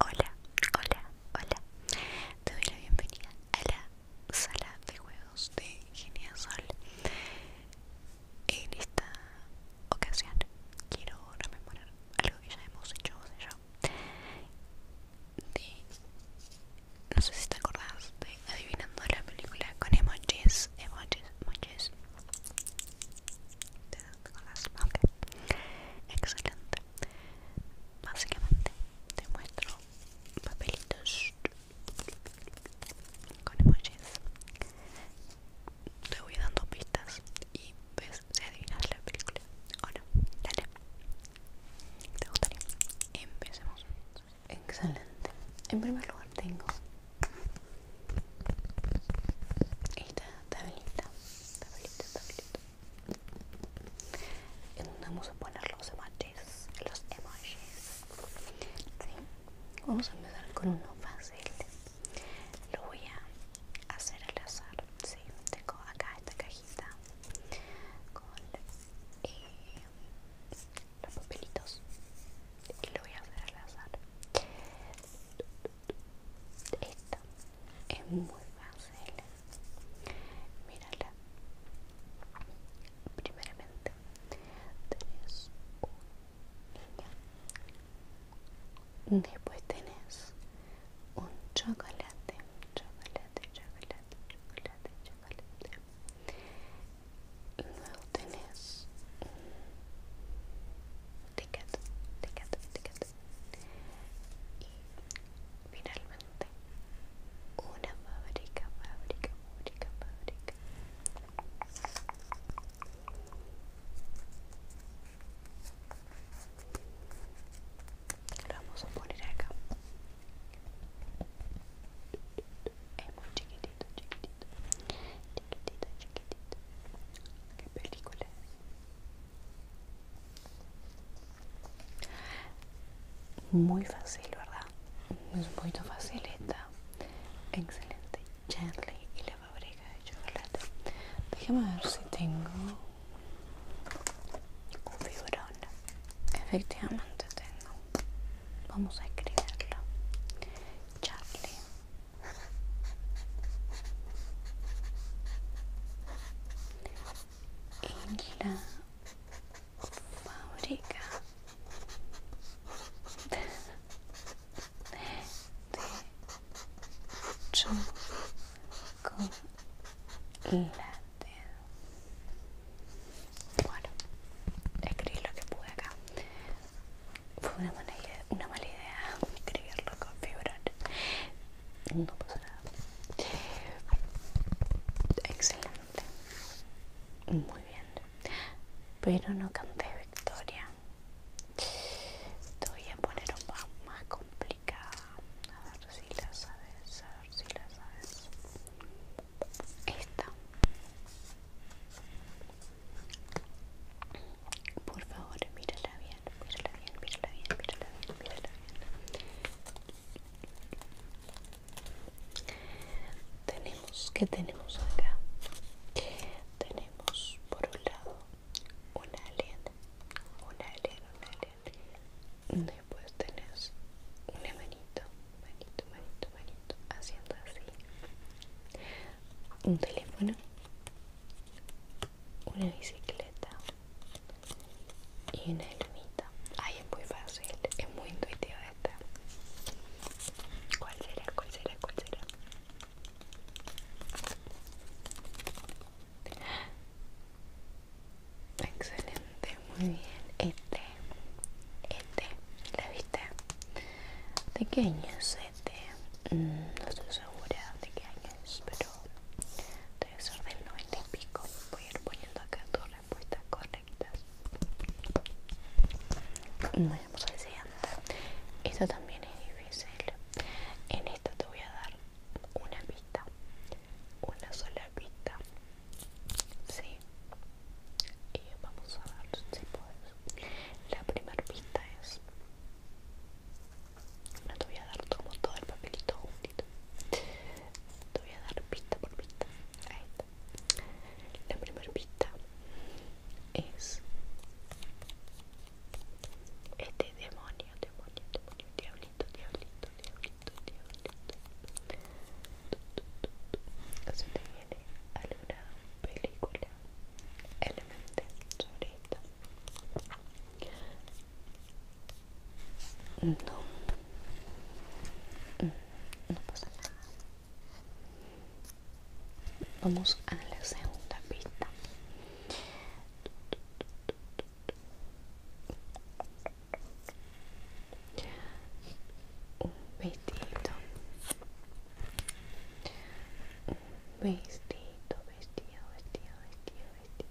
Hola, hola, hola. Te doy la bienvenida a la sala de juegos de Geniasol. En esta ocasión quiero rememorar algo que ya hemos hecho vos y yo. De, no sé si te acordás de adivinando la película con emojis, emojis, emojis las okay. Excelente. Básicamente te muestro papelitos con emojis. Te voy dando pistas y ves si adivinas la película o Dale. ¿Te gustaría? Empecemos. Excelente. En primer lugar tengo esta tablita, tablita, tablita. En donde vamos a poner los emojis, los emojis. Vamos a empezar con uno fácil. Lo voy a hacer al azar. ¿sí? Tengo acá esta cajita con eh, los papelitos. Y lo voy a hacer al azar. Esta es muy fácil. Mírala. Primeramente, tenés un niño. Después tenés un chocolate. Chocolate, chocolate, chocolate, chocolate tenés un ticket, ticket, ticket y finalmente una fábrica, fábrica, fábrica, fábrica lo vamos a poner acá es muy chiquitito, chiquitito chiquitito, chiquitito, ¿Qué película es? Muy fácil, ¿verdad? Es muy fácil esta. Excelente. Charlie y la fábrica de chocolate. Déjame ver si tengo un figurón. Efectivamente tengo. Vamos a escribirlo. Charlie en la fábrica de chocolate. Bueno, escribí lo que pude acá fue una mala, idea, escribirlo con fibra no pasa nada excelente muy bien pero no canté victoria te voy a poner un poco más complicada a ver si la sabes a ver si la sabes esta por favor, mírala bien, mírala bien, mírala bien, mírala bien, mírala bien. Tenemos, ¿qué tenemos acá? Tenemos por un lado un alien, un alien, un alien. Después tenés una manito, manito, manito, manito, haciendo así un teléfono, una bicicleta y una ermita. Ay, es muy fácil, es muy intuitiva esta. ¿Cuál será? ¿Cuál será? ¿Cuál será? Excelente, muy bien. Este, este, ¿la viste? año Mm, no estoy segura de qué año es, pero debe ser del 90 y pico. Voy a ir poniendo acá dos respuestas correctas. Vayamos al siguiente. Esta también es difícil. En esta te voy a dar una pista, una sola pista. Sí, y vamos a ver si podemos. La primera pista es... No te voy a dar todo el papelito juntito. Te voy a dar pista por pista. Ahí está. La primera pista es... Este demonio, demonio, demonio, diablito, diablito, diablito, diablito. Así te tiene alguna película elemental sobre esto no mm, no pasa nada vamos a la segunda pista un vestido Vestido, vestido, vestido, vestido, vestido.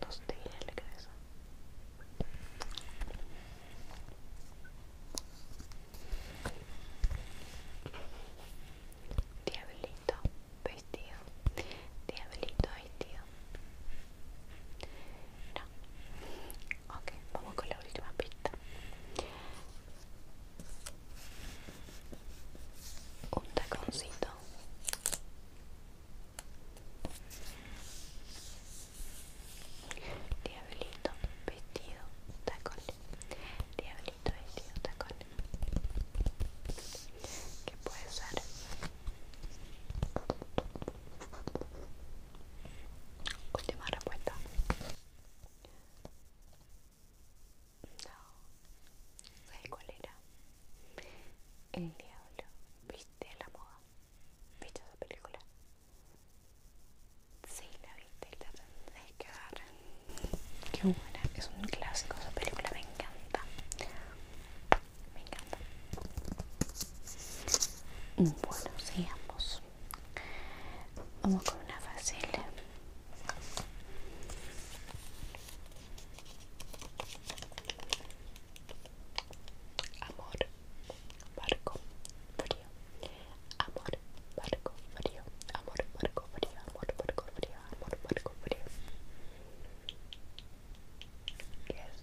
No te en la cabeza. Diablito, vestido. Diablito, vestido. No. Ok, vamos con la última pista un taconcito diablito vestido tacón diablito vestido tacón que puede ser última respuesta no, ¿sabes cuál era? El diablo. ¿Viste la moda? ¿Viste esa película? Sí, la viste, la que ver Qué buena, es un clásico esa película, me encanta. Me encanta. Bueno, sigamos. Vamos con una fácil. Amor, barco, frío. Amor, barco, frío. Amor, barco, frío. Amor, barco, frío. Amor, barco, frío. Yes.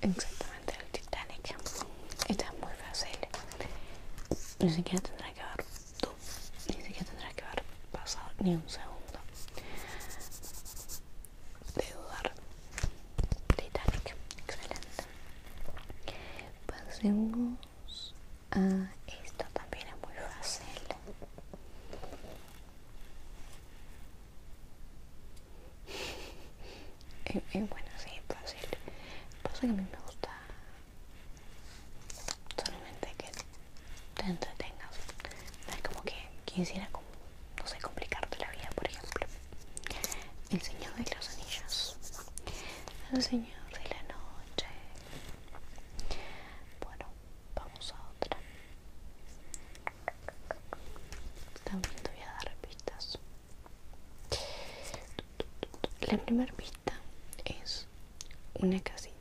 Exactamente, el Titanic. Esta es muy fácil. Ni siquiera tendrá que haber tú. Ni siquiera tendrá que haber pasado ni un segundo de dudar. Titanic. Excelente. Pasemos a esto también es muy fácil es, bueno, sí, es fácil. Pasa que a mí me gusta solamente que te entretengas. como que quisiera, como, no sé, complicarte la vida, por ejemplo. El Señor de los Anillos. El Señor de la Noche. Bueno, vamos a otra. También te voy a dar pistas. La primera vista es una casita.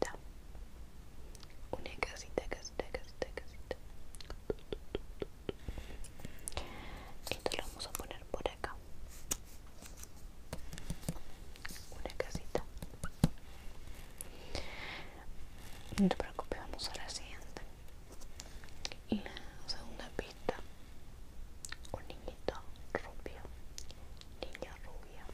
Una casita, casita, casita, casita. Esto lo vamos a poner por acá. Una casita. No te preocupes, vamos a la siguiente. Y la segunda pista, un niñito rubio, niña rubia.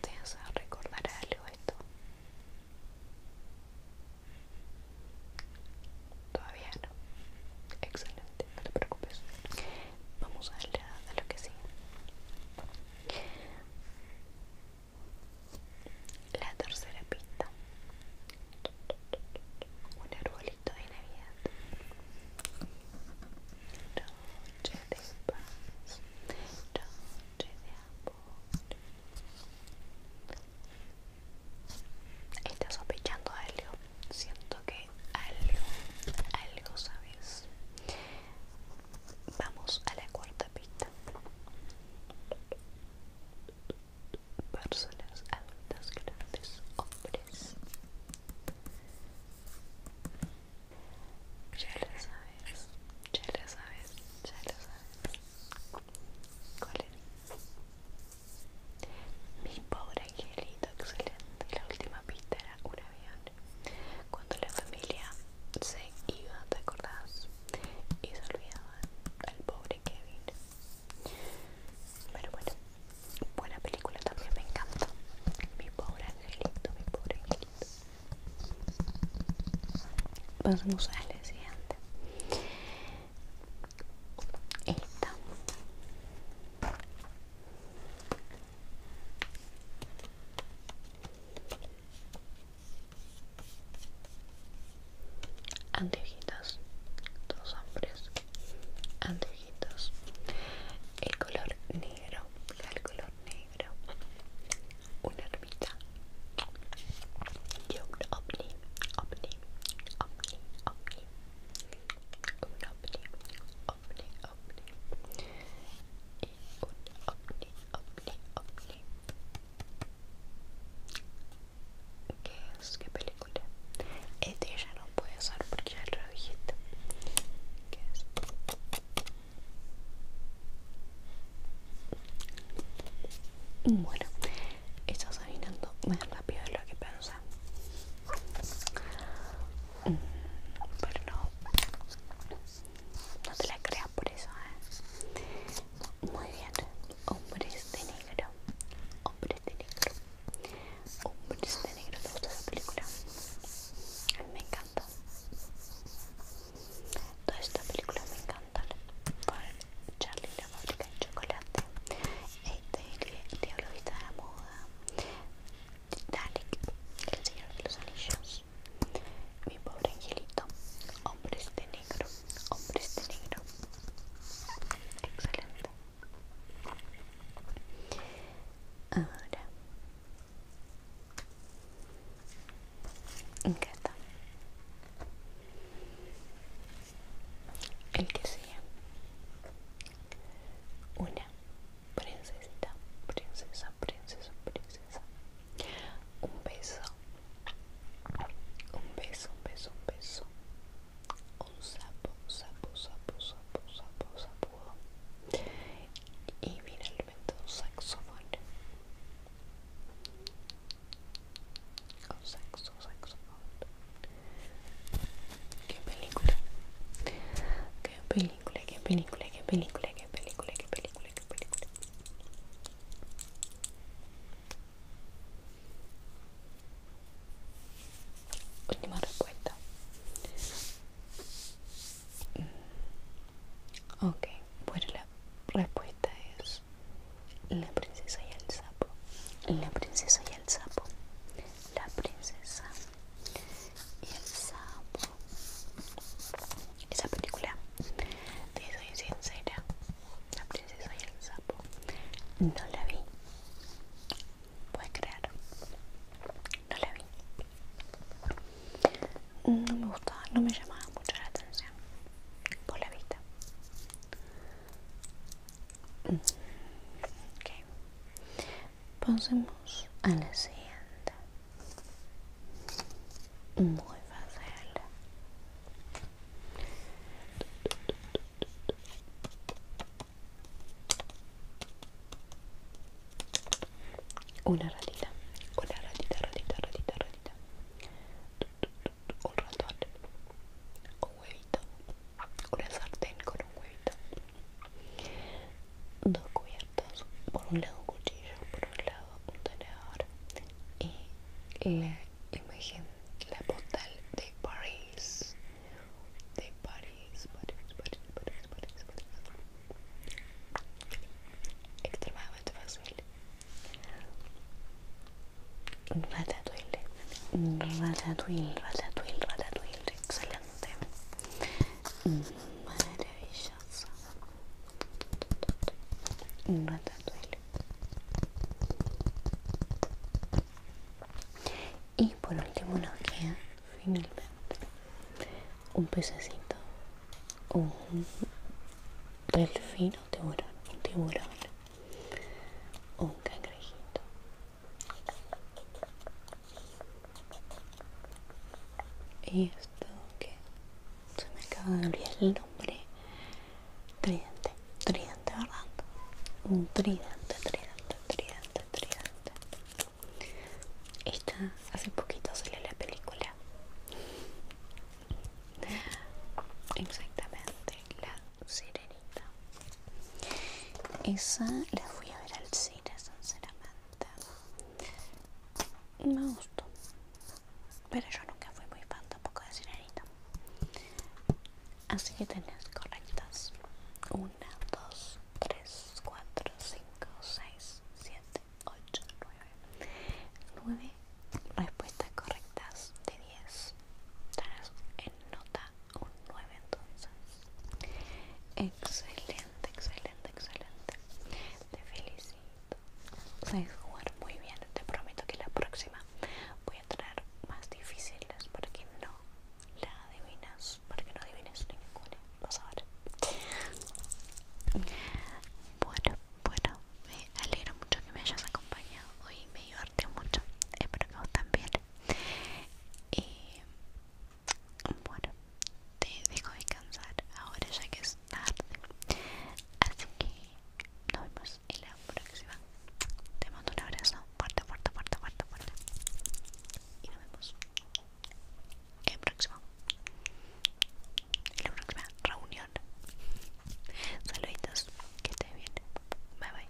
¿Te a recordar algo esto? Todavía no. Excelente, no te preocupes. Vamos a, la, a lo que sigue. La tercera pista. Un arbolito de Navidad. Noche de paz. Noche de amor. Está sospechando algo siento que algo, algo sabes. Vamos a la cuarta pista. Personas adultas, grandes, hombres. Ya lo sabes, ya lo sabes, ya lo sabes. ¿Cuál Mi pobre angelito, excelente. La última pista era una cuando la familia se iba, ¿te acordás? Y se olvidaba al pobre Kevin. Pero bueno, buena película también, me encanta. Mi pobre angelito, mi pobre angelito. Pasamos a la siguiente. Esta anteojitos dos hombres anteojitos el color negro el color negro una ermita y un ovni ovni ovni ovni un ovni opli es? ¿Qué película? Este ya no puede usar porque ya lo Bueno, estás saliendo más rápido de lo que pensaba pero no, no te la creas por eso, ¿eh? Muy bien, hombres de negro, hombres de negro, hombres de negro, ¿te gusta película? me encanta. Toda esta película me encanta. Por Charlie la fábrica de chocolate, este, el diablo de la moda, Titanic, El Señor de los Anillos, Mi Pobre Angelito, Hombres de Negro, Hombres de Negro. Excelente. Ahora. Acá El que sea. Una princesita, princesa, princesa, princesa. Un beso, un beso, un beso, un beso. Un sapo, sapo, sapo, sapo, sapo, sapo. Y finalmente un saxofón. Un saxo, saxofón. Qué película. Qué película, qué película, qué película, qué película, qué película, qué película. Última respuesta. Mm. Ok, bueno, la respuesta es la princesa y el sapo. La princesa y el sapo la princesa y el sapo. Esa película, te soy sincera, la princesa y el sapo, no la vi. ¿Puede creer, no la vi. No me gustaba, no me llamaba mucho la atención por la vista. Okay pasemos a la siguiente muy fácil una ratita una ratita ratita ratita ratita un ratón un huevito una sartén con un huevito dos cubiertos por un lado un cuchillo por un lado un tenedor y la imagen la postal de paris de París París París París París, París. extremadamente fácil ratatouille ratatouille ratatouille ratatouille maravilloso un ratatouille y por último nos queda finalmente un pececito un delfín o tiburón un tiburón un cangrejito y esto que se me acaba de olvidar el nombre tridente tridente verdad un tridente tridente tridente tridente esta hace poquito salió la película exactamente la sirenita esa la fui a ver al cine, sinceramente. Me gustó. Pero yo nunca fui muy fan tampoco de cinearito. Así que tenés correctas: 1, 2, 3, 4, 5, 6, 7, 8, 9. 9 respuestas correctas de 10. Tenés en nota un 9 entonces excelente excelente excelente te felicito jugar muy bien te prometo que la próxima voy a traer más difíciles para no la adivinas para no adivines ninguna vas a ver bueno bueno me alegro mucho que me hayas acompañado hoy me divertí mucho espero que vos también y bueno, te dejo cansar ahora ya que es tarde. Así que nos vemos en la próxima. Te mando un abrazo fuerte, fuerte, fuerte, fuerte, Y nos vemos en la En la próxima reunión. Saluditos, que estés bien. Bye bye.